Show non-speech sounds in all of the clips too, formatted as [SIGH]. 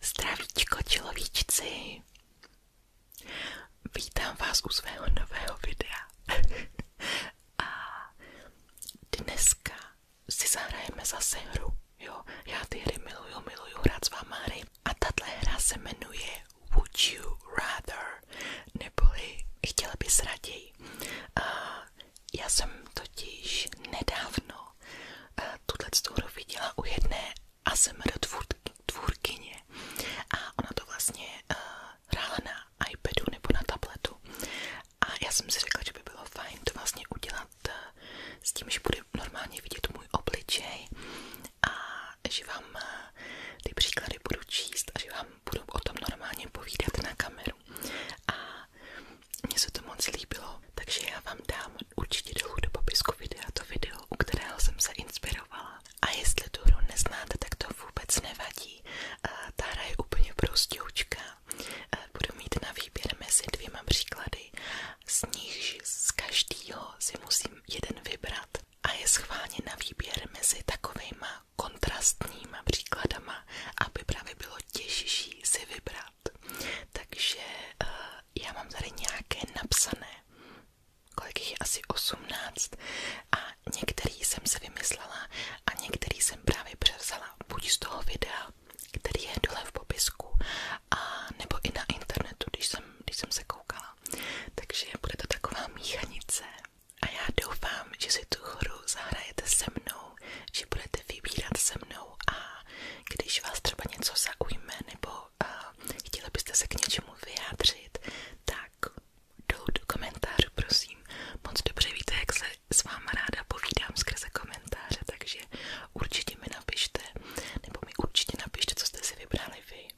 Zdravíčko človíčci! Vítám vás u svého nového videa. [LAUGHS] A dneska si zahrajeme zase hru. Jo, já ty hry miluju, miluju hrát s váma hry. A tato hra se jmenuje Would You Rather? Neboli chtěla bys raději. A já jsem totiž nedávno eh, tuto hru viděla u jedné a ASMR tvůrkyně a ona to vlastně uh, hrála na iPadu nebo na tabletu a já jsem si řekla, že by bylo fajn to vlastně udělat eh, s tím, že bude normálně vidět můj obličej a že vám ty příklady budu číst a že vám budu o tom normálně povídat na kameru a a to moc líbilo, takže já vám dám určitě do popisku videa to video, u kterého jsem se inspirovala. A jestli tu neznáte, tak to vůbec nevadí. Ta je úplně prostoučka. Budu mít na výběr mezi dvěma příklady, z nichž z každého si musím jeden vybrat. A je schválně na výběr mezi takovejma kontrastníma příkladama, aby právě bylo těžší si vybrat. Takže eh, já mám tady nějaké napsané, kolik je asi 18 a některý jsem si vymyslela a některý jsem právě převzala buď z toho videa, který je dole v popisku, a nebo i na internetu, když jsem, když jsem se koukala. Takže bude to taková míchanice a já doufám, že si tu hru zahrajete se mnou že budete vybírat se mnou a když vás třeba něco zaujme nebo uh, chtěli byste se k něčemu vyjádřit, tak dolů do komentářů, prosím. Moc dobře víte, jak se s váma ráda povídám skrze komentáře, takže určitě mi napište, nebo mi určitě napište, co jste si vybrali vy.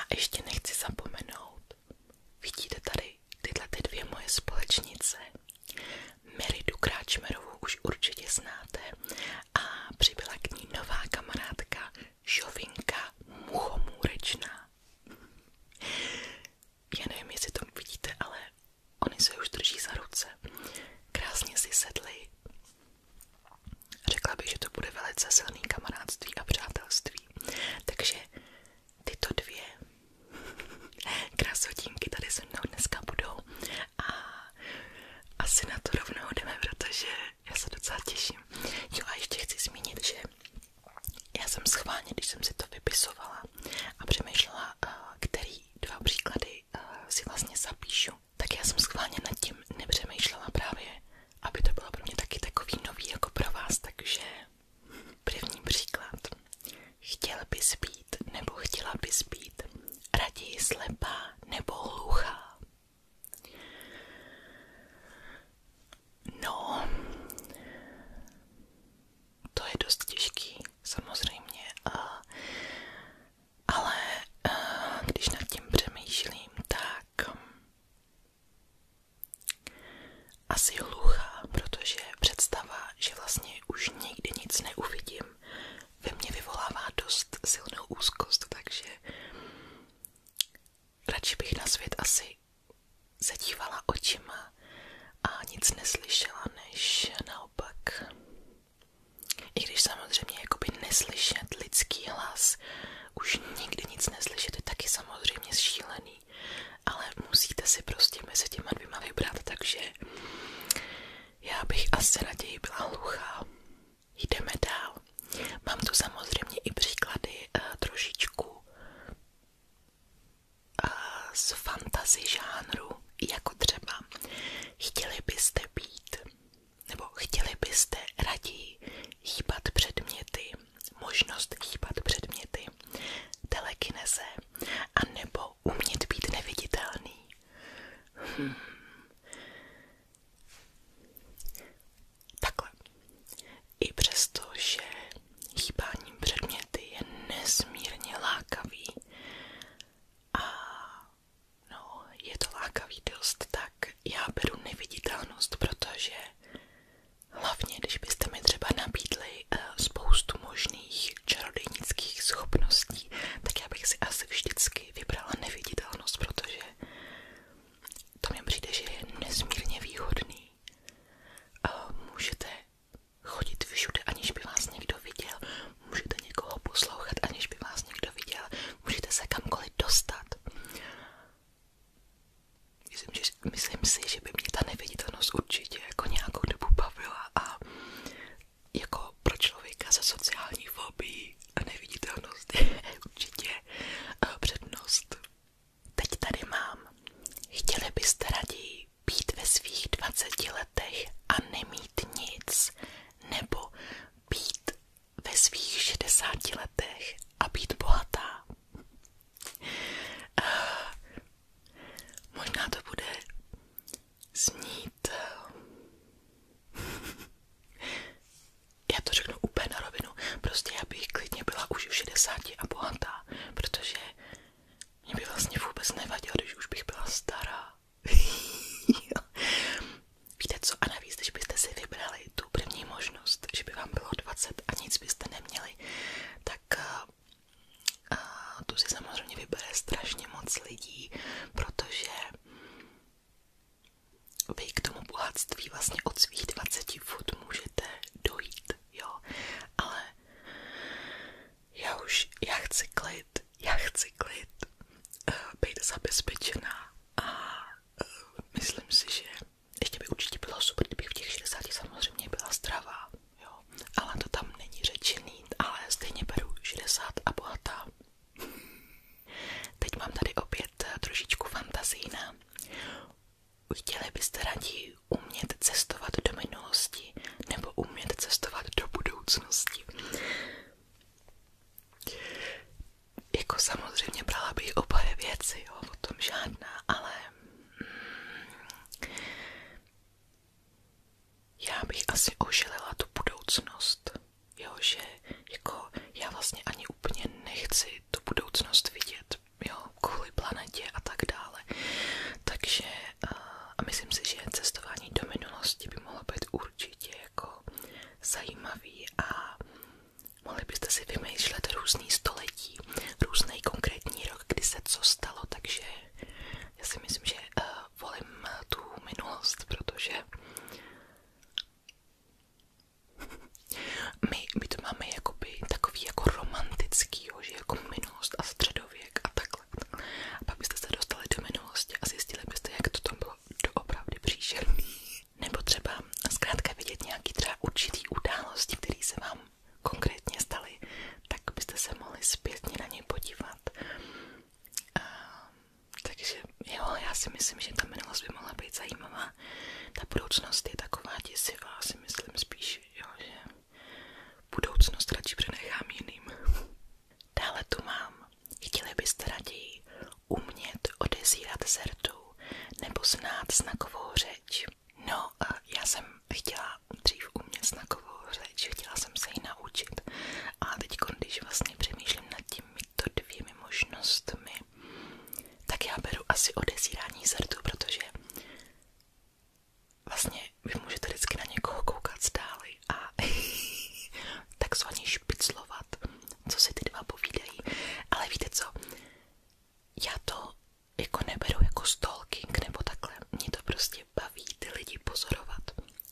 A ještě nechci zapomenout, vidíte tady tyhle ty dvě moje společnice. Meridu Kráčmerovou už určitě znáte a přibyla k ní nová kamarádka Žovinka Muchomůrečná. Já nevím, jestli to vidíte, ale oni se už drží za ruce. Krásně si sedli. Řekla bych, že to bude velice silný kamarádství a přátelství. Takže tyto dvě [LAUGHS] krásotínky tady se mnou dneska budou a asi na to rovnou jdeme, protože já se docela těším. Jo a ještě chci zmínit, že já jsem schválně, když jsem si to vypisovala a přemýšlela, eh, který dva příklady eh, si vlastně zapíšu, tak já jsem schválně nad tím nepřemýšlela právě, aby to bylo pro mě taky takový nový jako pro vás, takže první příklad. Chtěl bys být nebo chtěla bys být raději slepá nebo hluchá. No, to je dost těžký, samozřejmě, a, ale a, když nad tím přemýšlím, tak asi hluchá, protože představa, že vlastně už nikdy nic neuvidím, ve mně vyvolává dost silnou úzkost, takže radši bych na svět asi zadívala očima a nic neslyšela, než naopak. I když samozřejmě jakoby neslyšet lidský hlas, už nikdy nic neslyšet je taky samozřejmě šílený, ale musíte si prostě mezi těma dvěma vybrat, takže já bych asi raději byla hluchá. Jdeme dál. Mám tu samozřejmě i příklady uh, trošičku uh, z fantasy žánru, jako třeba chtěli byste být, nebo chtěli byste raději hýbat předměty, možnost hýbat předměty, telekineze, anebo umět být neviditelný. Hmm. I přesto, že chýbáním předměty je nesmírně lákavý a no, je to lákavý dost, tak já beru neviditelnost, protože hlavně, když mi třeba nabídli eh, spoustu možných čarodějnických schopností, tak já bych si asi vždycky taky vybrala neviditelnost, protože to mi přijde, že je nesmírně výhodný. Můžete chodit všude, aniž by vás někdo viděl, můžete někoho poslouchat, aniž by vás někdo viděl, můžete se kamkoliv dostat. Myslím, že, myslím si, že by mě ta neviditelnost určitě jako nějakou dobu bavila a jako pro člověka se sociální fobií a neviditelnost je [LAUGHS] určitě eh, přednost. Teď tady mám. Chtěli byste raději být ve svých 20 letech a nemít nic, nebo být ve svých 60 letech a být bohatá? Eh, možná to bude snít. Já to řeknu úplně na rovinu. Prostě já bych klidně byla už v 60 a bohatá, protože mě by vlastně vůbec nevadilo, když už bych byla stará. [LAUGHS] Víte co? A navíc, když byste si vybrali tu první možnost, že by vám bylo 20 a nic byste neměli, tak a, eh, eh, tu si samozřejmě vybere strašně moc lidí, protože vy k tomu bohatství vlastně od svých 20 fut můžete dojít, jo, ale já už, já chci klid, já chci klid, eh, být zabezpečená a eh, myslím si, že ještě by určitě bylo super, kdybych v těch 60 samozřejmě byla zdravá, jo, ale to tam není řečený, ale stejně beru 60 a bohatá. Teď mám tady opět eh, trošičku fantazína. Chtěli byste raději umět cestovat do minulosti nebo umět cestovat do budoucnosti? Jako samozřejmě brala bych oboje věci, jo, o tom žádná, ale já bych asi ožilila tu budoucnost, jo, že jako já vlastně ani úplně nechci tu budoucnost vidět, jo, kvůli planetě a tak dále, takže eh, a myslím si, že cestování do minulosti by mohlo být určitě jako zajímavý a mohli byste si vymýšlet různý století, různý konkrétní rok, kdy se co stalo, takže já si myslím, že eh, volím tu minulost, protože my, my to máme jakoby takový jako romantický, jo, že jako minulost a středověk a takhle. A pak byste se dostali do minulosti a zjistili byste, jak to tam bylo doopravdy příšerný. Nebo třeba zkrátka vidět nějaký třeba určitý události, které se vám konkrétně staly, tak byste se mohli zpětně na ně podívat. A takže jo, já si myslím, že ta minulost by mohla být zajímavá. Ta budoucnost je taková děsivá, si myslím spíš, jo, že budoucnost radši přenechám jiným. [LAUGHS] Dále tu mám. Chtěli byste raději umět odezírat zertu nebo znát znakovou řeč? No, já jsem chtěla dřív umět znakovou řeč, chtěla jsem se ji naučit. A teď, když vlastně přemýšlím nad tím, těmito dvěmi možnostmi, tak já beru asi odezírání zrtu, protože vlastně vy můžete vždycky na někoho koukat zdáli a [LAUGHS] takzvaně špiclovat, co si ty dva povídají. Ale víte co, já to jako neberu jako stalking nebo takhle, mě to prostě baví ty lidi pozorovat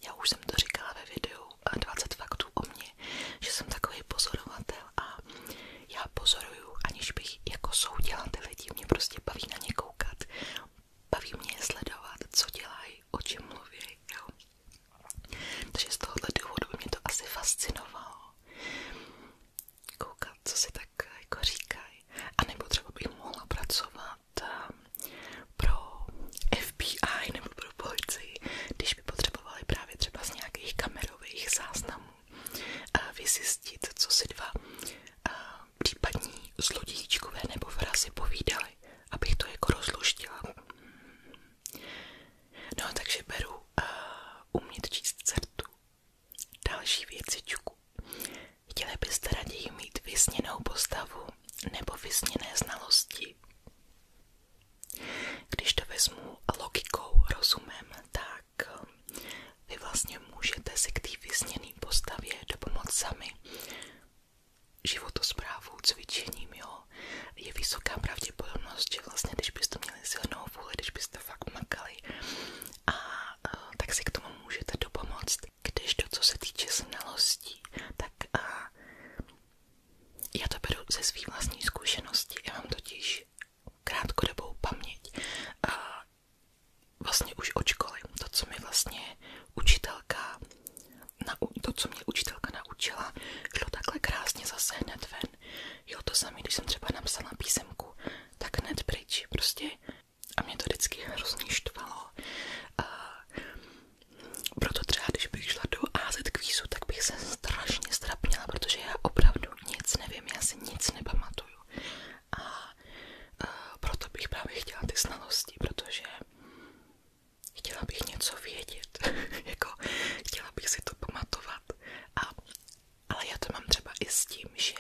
já už jsem to říkala ve videu 20 faktů o mně, že jsem takový pozorovatel a já pozoruju, aniž bych jako soudila ty lidi, mě prostě baví na ně koukat, baví mě je sledovat, co dělají, o čem mluví, jo. Takže z tohohle důvodu mě to asi fascinovalo. Koukat, co si tak jako říkají. A nebo třeba bych mohla pracovat pro FBI nebo pro policii, když by potřebovali právě třeba z nějakých kamerových záznamů eh, vyzjistit, co si dva eh, případní zlodíčkové nebo vrazy povídali, abych to jako rozluštila. No takže beru uh, umět číst certu. Další věcičku. Chtěli byste raději mít vysněnou postavu nebo vysněné znalosti? Když to vezmu logikou, rozumem, tak ehm, vy vlastně můžete si k té vysněné postavě dopomoct sami životosprávou, cvičením, jo. Je vysoká pravděpodobnost, že vlastně, když byste měli silnou vůli, když byste fakt makali, a, a e, tak si k tomu můžete dopomoct. Když to, co se týče znalostí, tak a, já to beru ze svých vlastní zkušenosti, já mám totiž krátkodobou paměť. A vlastně už od školy, to, co mi vlastně učitelka, na to, co mě učitelka naučila, šlo takhle krásně zase hned ven. Jo, to samé, když jsem třeba napsala písemku, tak hned pryč, prostě. A mě to vždycky hrozně štvalo. A proto třeba, když bych šla do AZ kvízu, tak bych se strašně strapnila, protože já opravdu nic nevím, já si nic nepamatuju. A, e, proto bych právě chtěla ty znalosti, protože chtěla bych něco vědět, [LAUGHS] jako chtěla bych si to pamatovat. A, ale já to mám třeba i s tím, že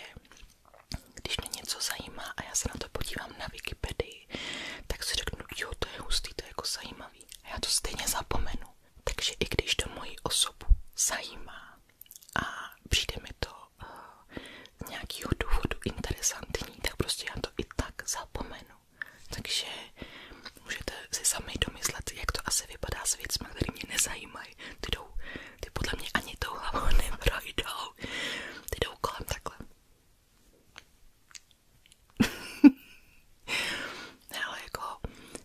když mě něco zajímá a já se na to podívám na Wikipedii, tak si řeknu, jo, to je hustý, to je jako zajímavé zajímavý. A já to stejně zapomenu. Takže i když to moji osobu zajímá a přijde mi to eh, z uh, nějakého důvodu interesantní, tak prostě já to i tak zapomenu. Takže můžete si sami domyslet, jak to asi vypadá s věcmi, které mě nezajímají. Ty, jdou, ty podle mě ani tou hlavou [LAUGHS] neprojdou. Ty jdou kolem takhle. [LAUGHS] ne, ale jako,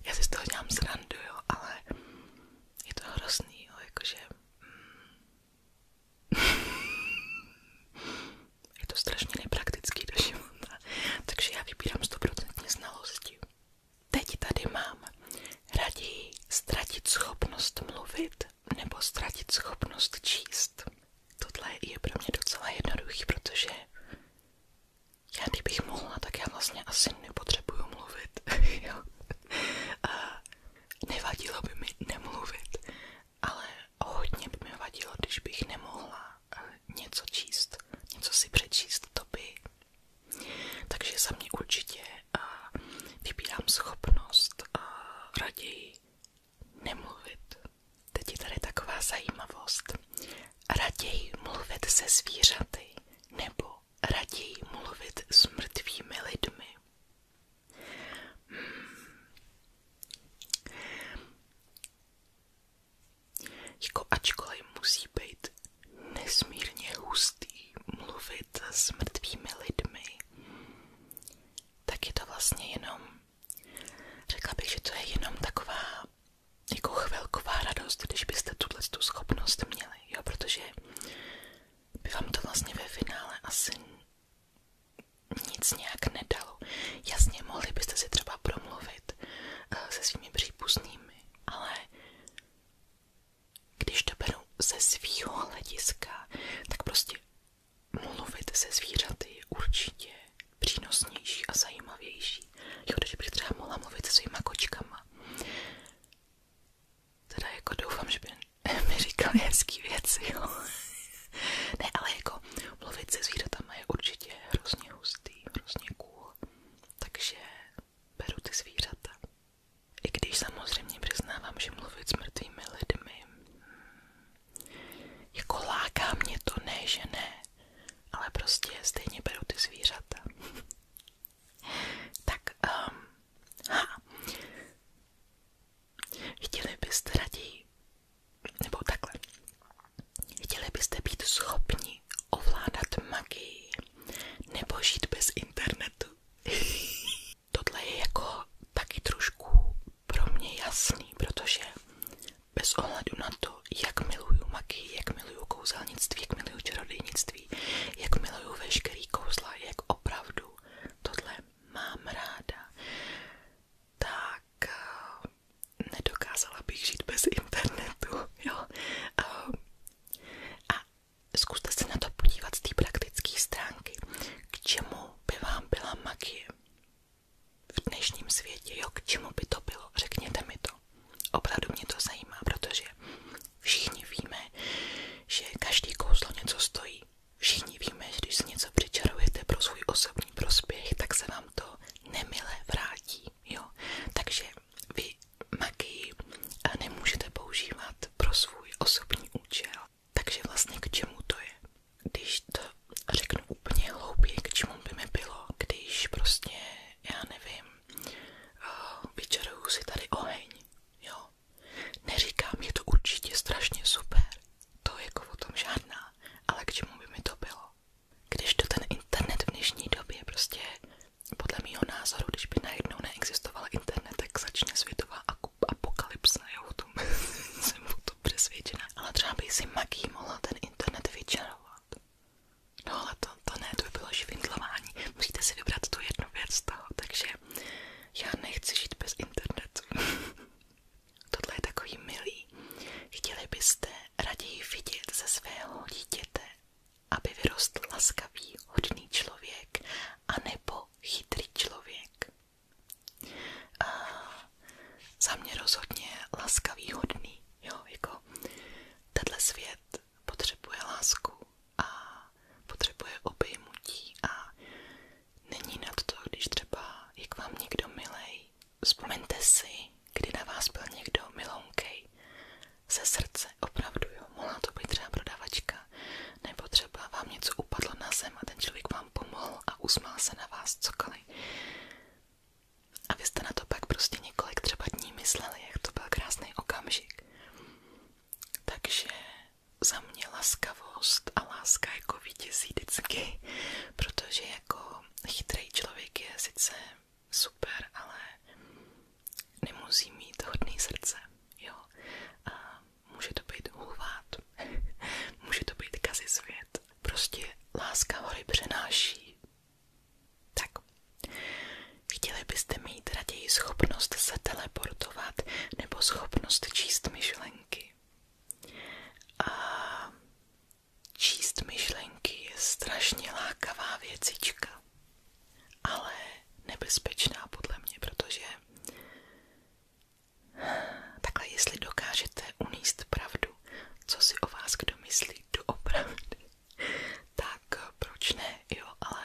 já si z toho dělám srandu, jo, ale je to hrozný, jo, jakože... Mm. [LAUGHS] je to strašně nepraktický do života, takže já vybírám 100% znalosti. Teď tady mám raději ztratit schopnost mluvit nebo ztratit schopnost číst. Tohle je pro mě docela jednoduchý, protože já kdybych mohla, tak já vlastně asi nepotřebuju mluvit, [LAUGHS] jo. A nevadilo by mi nemluvit, ale hodně by mi vadilo, když bych nemohla eh, něco číst, něco si přečíst, to by. Takže za mě určitě eh, vybírám schopnost eh, raději nemluvit, Teď je tady taková zajímavost. Raději mluvit se zvířaty nebo raději mluvit s mrtvými lidmi. Hmm. Jako ačkoliv musí být nesmírně hustý mluvit s mrtvými lidmi, tak je to vlastně jenom Řekla bych, že to je jenom taková jako chvilková radost, když byste tuhle tu schopnost měli, jo, protože by vám to vlastně ve finále asi nic nějak nedalo. Jasně, mohli byste si třeba promluvit eh, se svými příbuznými, ale když to beru ze svýho hlediska, tak prostě mluvit se zvířaty určitě přínosnější a zajímavější. Jo, když bych třeba mohla mluvit se svýma kočkama. Teda jako doufám, že by [LAUGHS] mi říkali věci, jo. [LAUGHS] ne, ale jako mluvit se zvířatama je určitě hrozně hustý, Takže beru ty zvířata. I když samozřejmě přiznávám, že mluvit s mrtvými lidmi hm, jako láká mě to, ne, že ne ale prostě stejně beru ty zvířata. [LAUGHS] tak, um, ha. Chtěli byste raději, nebo takhle, chtěli byste být schopni ovládat magii nebo žít bez internetu? [LAUGHS] Tohle je jako taky trošku pro mě jasný, protože bez ohledu na to, jak miluju magii, jak miluju kouzelnictví, jak miluju čarodějnictví, jak miluju veškerý kouzla, jak opravdu tohle mám ráda, tak eh, nedokázala bych žít bez internetu, [LAUGHS] jo. Eh, a zkuste se na to podívat z té praktické stránky, k čemu by vám byla magie v dnešním světě, jo, k čemu by to bylo, řekněte mi to. Opravdu mě to zajímá, protože všichni víme, že každý kouzlo něco stojí. Všichni víme, že když si něco přičarujete pro svůj osobní prospěch, tak se vám to nemile vrátí, jo. Takže vy magii eh, nemůžete používat pro svůj osobní účel. Takže vlastně k čemu to je? Když to řeknu úplně hloupě, k čemu bylo, když prostě, já nevím, eh, vyčaruju si tady oheň, jo. Neříkám, je to určitě strašně super, to je jako ale k čemu to bylo? Když to ten internet v dnešní době prostě, podle mýho názoru, když by najednou neexistoval internet, tak začne světová apokalypsa, jo, o tom [LAUGHS] jsem Ale třeba by si magii mohla ten internet vyčarovat dělat. No ale to, to ne, to by bylo švindlování. Musíte si vybrat tu jednu věc z toho, takže já nechci žít bez internetu. [LAUGHS] Tohle je takový milý. Chtěli byste raději vidět ze svého dítěte, aby vyrostl laskavý, hodný člověk, anebo chytrý člověk. A za mě rozhodně laskavý, hodný, jo, jako tenhle svět potřebuje lásku a potřebuje obejmutí a není nad to, když třeba je k vám někdo milej. Vzpomeňte si, kdy na vás byl někdo milounkej ze srdce, opravdu jo, mohla to být třeba prodavačka, nebo třeba vám něco upadlo na zem a ten člověk vám pomohl a usmál se na vás cokoliv. A vy jste na to pak prostě několik třeba dní mysleli, jak to byl krásný okamžik. Takže za mě laskavost a láska jako vítězí vždycky, protože jako chytrý člověk je sice super, ale nemusí mít hodný srdce, jo. A může to být hulvát, [LAUGHS] může to být kazi svět. Prostě láska hory přenáší tak, chtěli byste mít raději schopnost se teleportovat nebo schopnost číst myšlenky? A číst myšlenky je strašně lákavá věcička, ale nebezpečná podle mě, protože takhle jestli dokážete uníst pravdu, opravdu, co si o vás kdo myslí doopravdy, [LAUGHS] tak eh, proč ne, jo, ale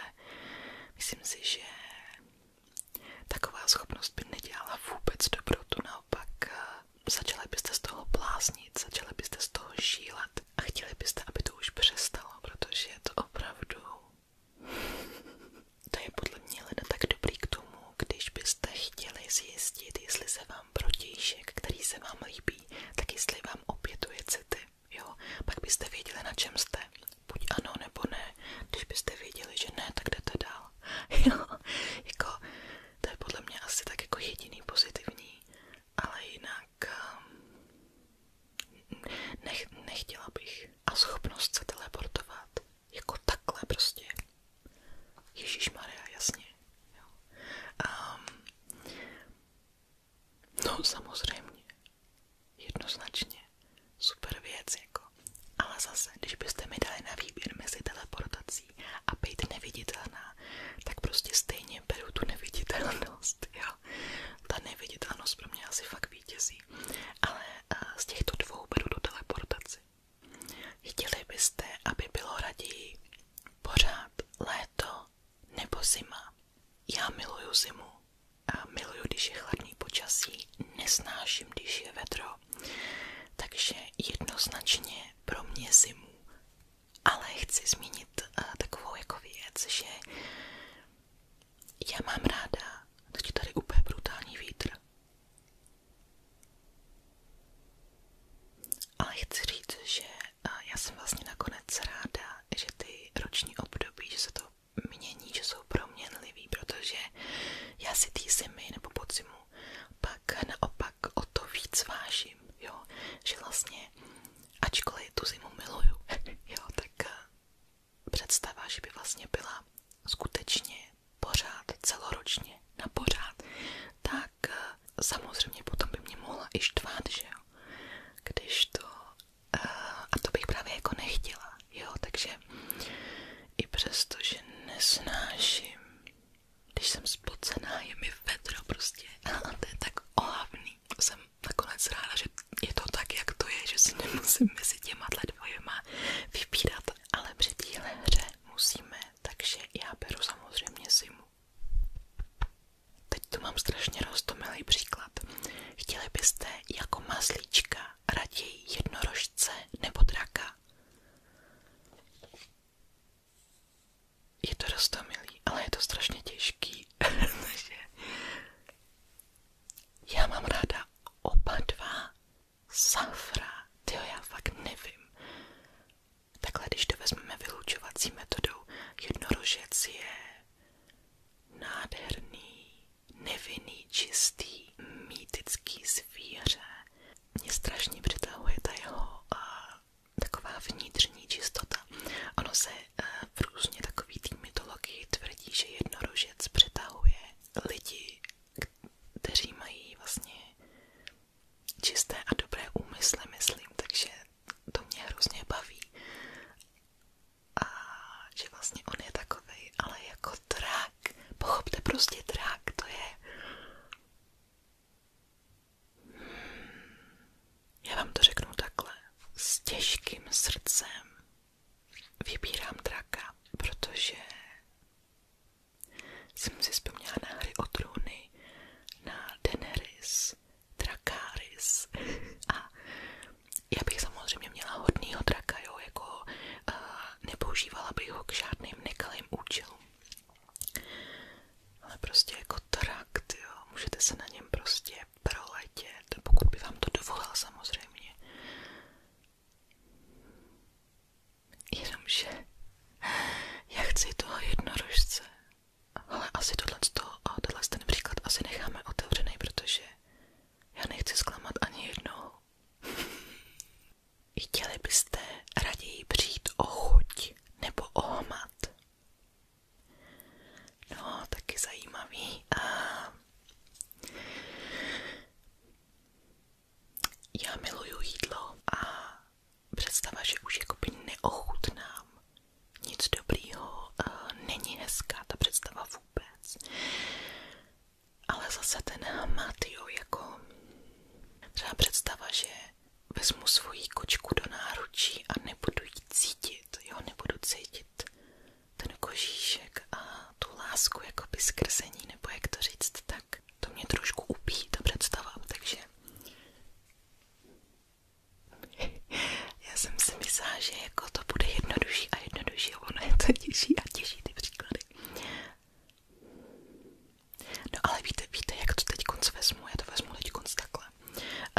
myslím si, že taková schopnost by nedělala vůbec dobrotu, naopak eh, začala byste z toho bláznit, začala byste z toho šílat a chtěli byste, aby to už přestalo, protože je to opravdu... [LAUGHS] to je podle mě leda tak dobrý k tomu, když byste chtěli zjistit, jestli se vám vám protějšek, který se vám líbí, tak jestli vám opětuje city, jo, pak byste věděli, na čem jste. Buď ano, nebo ne. Když byste věděli, že ne, tak jdete dál. [LAUGHS] Jo, jako, to je podle mě asi tak jako jediný pozitivní, ale jinak ehm, nech, nechtěla bych. A schopnost se teleportovat, jako takhle prostě. Ježíš Maria, jasně. Jo. Um, No samozřejmě, jednoznačně, super věc jako. Ale zase, když byste mi dali na výběr mezi teleportací a být neviditelná, tak prostě stejně beru tu neviditelnost, jo. Ta neviditelnost pro mě asi fakt vítězí. Ale eh, z těchto dvou beru tu teleportaci. Chtěli byste, aby bylo raději pořád let léto nebo zima. Já miluju zimu. A miluju, když je chladný počasí, nesnáším, když je vedro. Takže jednoznačně pro mě zimu. Ale chci zmínit uh, takovou jako věc, že já mám ráda, teď tady úplně brutální vítr. Ale chci říct, že já jsem vlastně nakonec ráda, že ty roční období, že se to mění, že jsou proměnlivý, protože já si tý zimy nebo podzimu pak naopak o to víc vážím, jo, že vlastně ačkoliv tu zimu miluju, [LAUGHS] jo, tak představa, že by vlastně byla skutečně pořád, celoročně, na pořád, tak samozřejmě by mě mohla i štvát, že jo, když to, eh, a to bych právě jako nechtěla, jo, takže i přesto, že nesnáším, když jsem spocená, je mi vedro prostě tak ohavný, jsem nakonec ráda, že je to tak, jak to je, že si nemusím mezi těma dvojema vybírat, ale při musíme, takže já beru samozřejmě zimu. Teď tu mám strašně roztomilý příklad. Chtěli byste jako maslíčka raději jednorožce nebo draka? Je to roztomilý, ale je to strašně těžký. [LAUGHS] já mám ráda oba dva safra, tyjo, já fakt nevím. Takhle, když to vezmeme vylučovací metodou, jednorožec je nádherný, nevinný, čistý, mýtický zvíře. Mě strašně přitahuje ta jeho a, taková vnitřní čistota. Ono se e, v různě takový té mytologii tvrdí, že jednorožec přitahuje lidi, kteří mají vlastně čisté a dobré úmysly, myslím, takže to mě hrozně baví. A že vlastně on je takovej, ale jako drak. Pochopte prostě drak, to je... Hmm. Já vám to řeknu takhle. S těžkým srdcem vybírám draka, protože jsem si vzpomněla na hry o na Daenerys, Dracarys. A já bych samozřejmě měla hodnýho draka, jo, jako uh, nepoužívala bych ho k žádným nekalým účelům. Ale prostě jako trakt, jo, můžete se na něm prostě proletět, pokud by vám to dovolil samozřejmě. Jenomže já chci toho jednorožce. Ale asi tohleto, tohle ten příklad asi necháme otevřený, protože já nechci zklamat ani jednou. [LAUGHS] Chtěli byste raději přijít o chuť nebo o hmat? No, taky zajímavý. A... Já miluju jídlo a představa, že už jakoby neochutnám nic dobrýho, eh, není hezká ta představa vůbec. Ale zase ten hmat, jo, jako třeba představa, že vezmu svoji kočku do náručí a nebudu ji cítit, jo, nebudu cítit ten kožíšek a tu lásku jakoby skrzení, nebo jak to říct, tak to mě trošku upíjí ta představa, takže já jsem si myslela, že jako to bude jednodušší a jednodušší, ono je to těžší a těžší ty příklady. No ale víte, víte, jak to teď konc vezmu, já to vezmu teď konc takhle.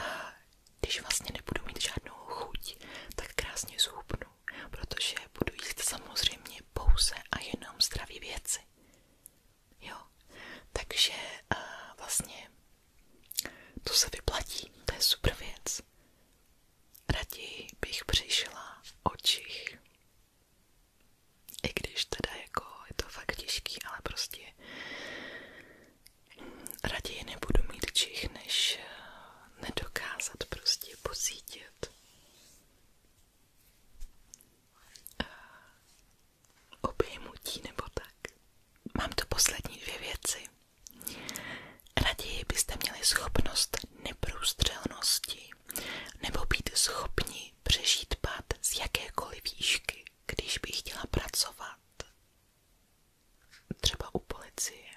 A když vlastně nebudu mít žádnou chuť, tak krásně zhubnu, protože budu jíst samozřejmě pouze a jenom zdravé věci jo. Takže uh, vlastně to se vyplatí, to je super věc. Raději bych přišla o čich. I když teda jako je to fakt těžký, ale prostě mm, raději nebudu mít čich, než eh, nedokázat prostě posítit. Eh, obejmutí nebo tak. Mám tu poslední dvě věci. Raději byste měli schopnost neprůstřelnosti nebo být schopni přežít pád z jakékoliv výšky, když by chtěla pracovat. Třeba u policie.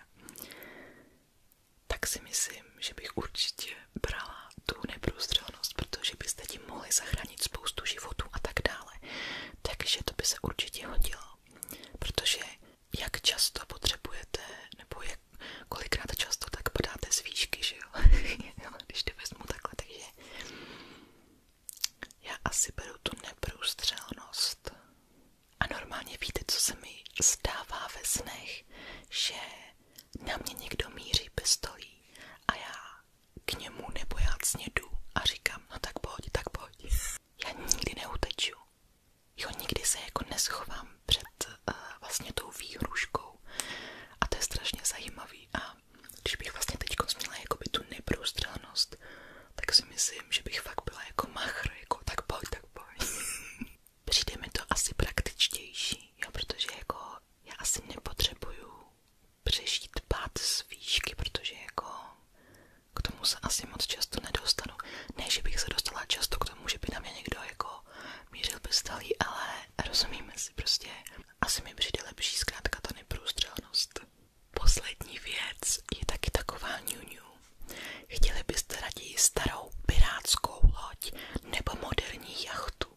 Tak si myslím, že bych určitě brala tu neprůstřelnost, protože byste tím mohli zachránit zachránit spoustu životů a tak dále. Takže to by se určitě hodilo, protože jak často potřebujete, nebo jak, kolikrát často tak padáte z výšky, že jo? [LAUGHS] Když to vezmu takhle, takže já asi beru tu neprůstřelnost. A normálně víte, co se mi zdává ve snech, že na mě někdo míří pistolí a já k němu nebo já snědu a říkám, no tak pojď, tak pojď. Já nikdy neuteču. Jo, nikdy se jako neschovám před uh, vlastně tou výhruškou. A to je strašně zajímavý. A když bych vlastně teď jako by tu neprůstřelnost, tak si myslím, že bych fakt byla jako machr, jako tak pojď, tak pojď. [LAUGHS] Přijde mi to asi praktičtější, jo, protože jako já asi nepotřebuju přežít pád z výšky, protože jako k tomu se asi moc často nedostanu. Ne, že bych se dostala často k tomu, že by na mě někdo jako mířil pistolí, ale rozumíme si prostě. Asi mi přijde lepší zkrátka ta neprůstřelnost. Poslední věc je taky taková ňuňu. Chtěli byste raději starou pirátskou loď nebo moderní jachtu?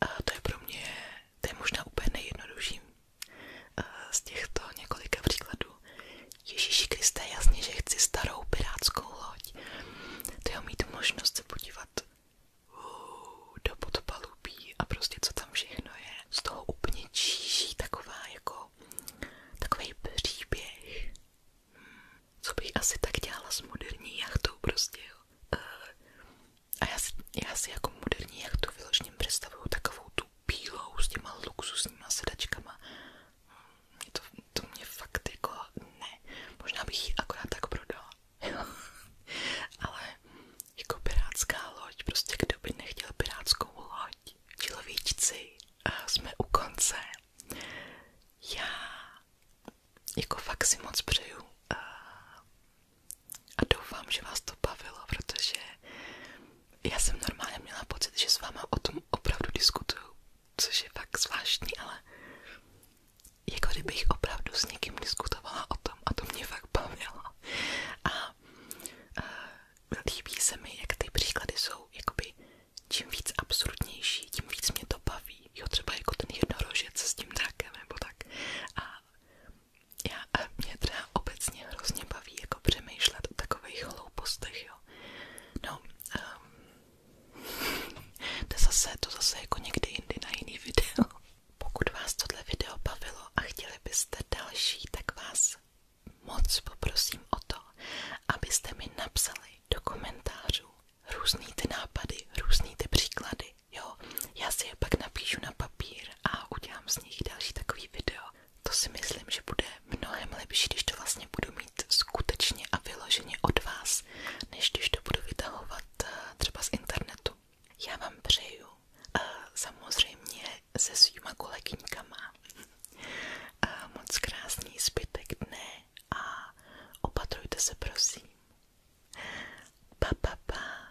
A eh, to je pro mě to je možná úplně nejjednodušší eh, z těchto několika příkladů. Ježíši Kriste, jasně, že chci starou pirátskou loď. To je mít možnost se podívat uh, do podpalubí a prostě co tam všechno je. Z toho úplně číží taková jako takový příběh. Hmm, co bych asi tak dělala s moderní jachtou prostě. Jo. Uh, a já si, já si jako moderní jachtu vyloženě představuju takovou tu bílou s těma luxusníma sedačkama. Mě to, to mě fakt jako ne. Možná bych ji akorát tak prodala. [LAUGHS] Ale jako pirátská loď, prostě kdo by nechtěl pirátskou loď. Človíčci, jsme u konce. Já jako fakt si moc přeju eh, a doufám, že vás to bavilo, protože já jsem normálně měla pocit, že s váma o tom opravdu diskutuju, což je fakt zvláštní, ale jako kdybych opravdu s někým diskutovala o tom a to mě fakt bavilo. A, a líbí se mi, jak ty příklady jsou, jakoby čím víc absurdnější, tím víc mě to baví. Jo, třeba jako ten jednorožec s tím drakem nebo tak. A já a mě třeba obecně hrozně baví jako přemýšlet o takových hloupostech, jo. No, um, [LAUGHS] to, zase, to zase jako někdy jindy na jiný video. Pokud vás tohle video bavilo a chtěli byste další, tak vás moc poprosím o to, abyste mi napsali do komentářů různý ty nápady, různý ty příklady, jo, já si je pak napíšu na papír a udělám z nich další takový video. To si myslím, že bude mnohem lepší, když to vlastně budu mít skutečně a vyloženě od vás, než když to budu vytahovat eh, třeba z internetu. Já vám přeju eh, samozřejmě se svýma kolegyňkama eh, moc krásný zbytek dne a opatrujte se prosím. Pa, pa, pa.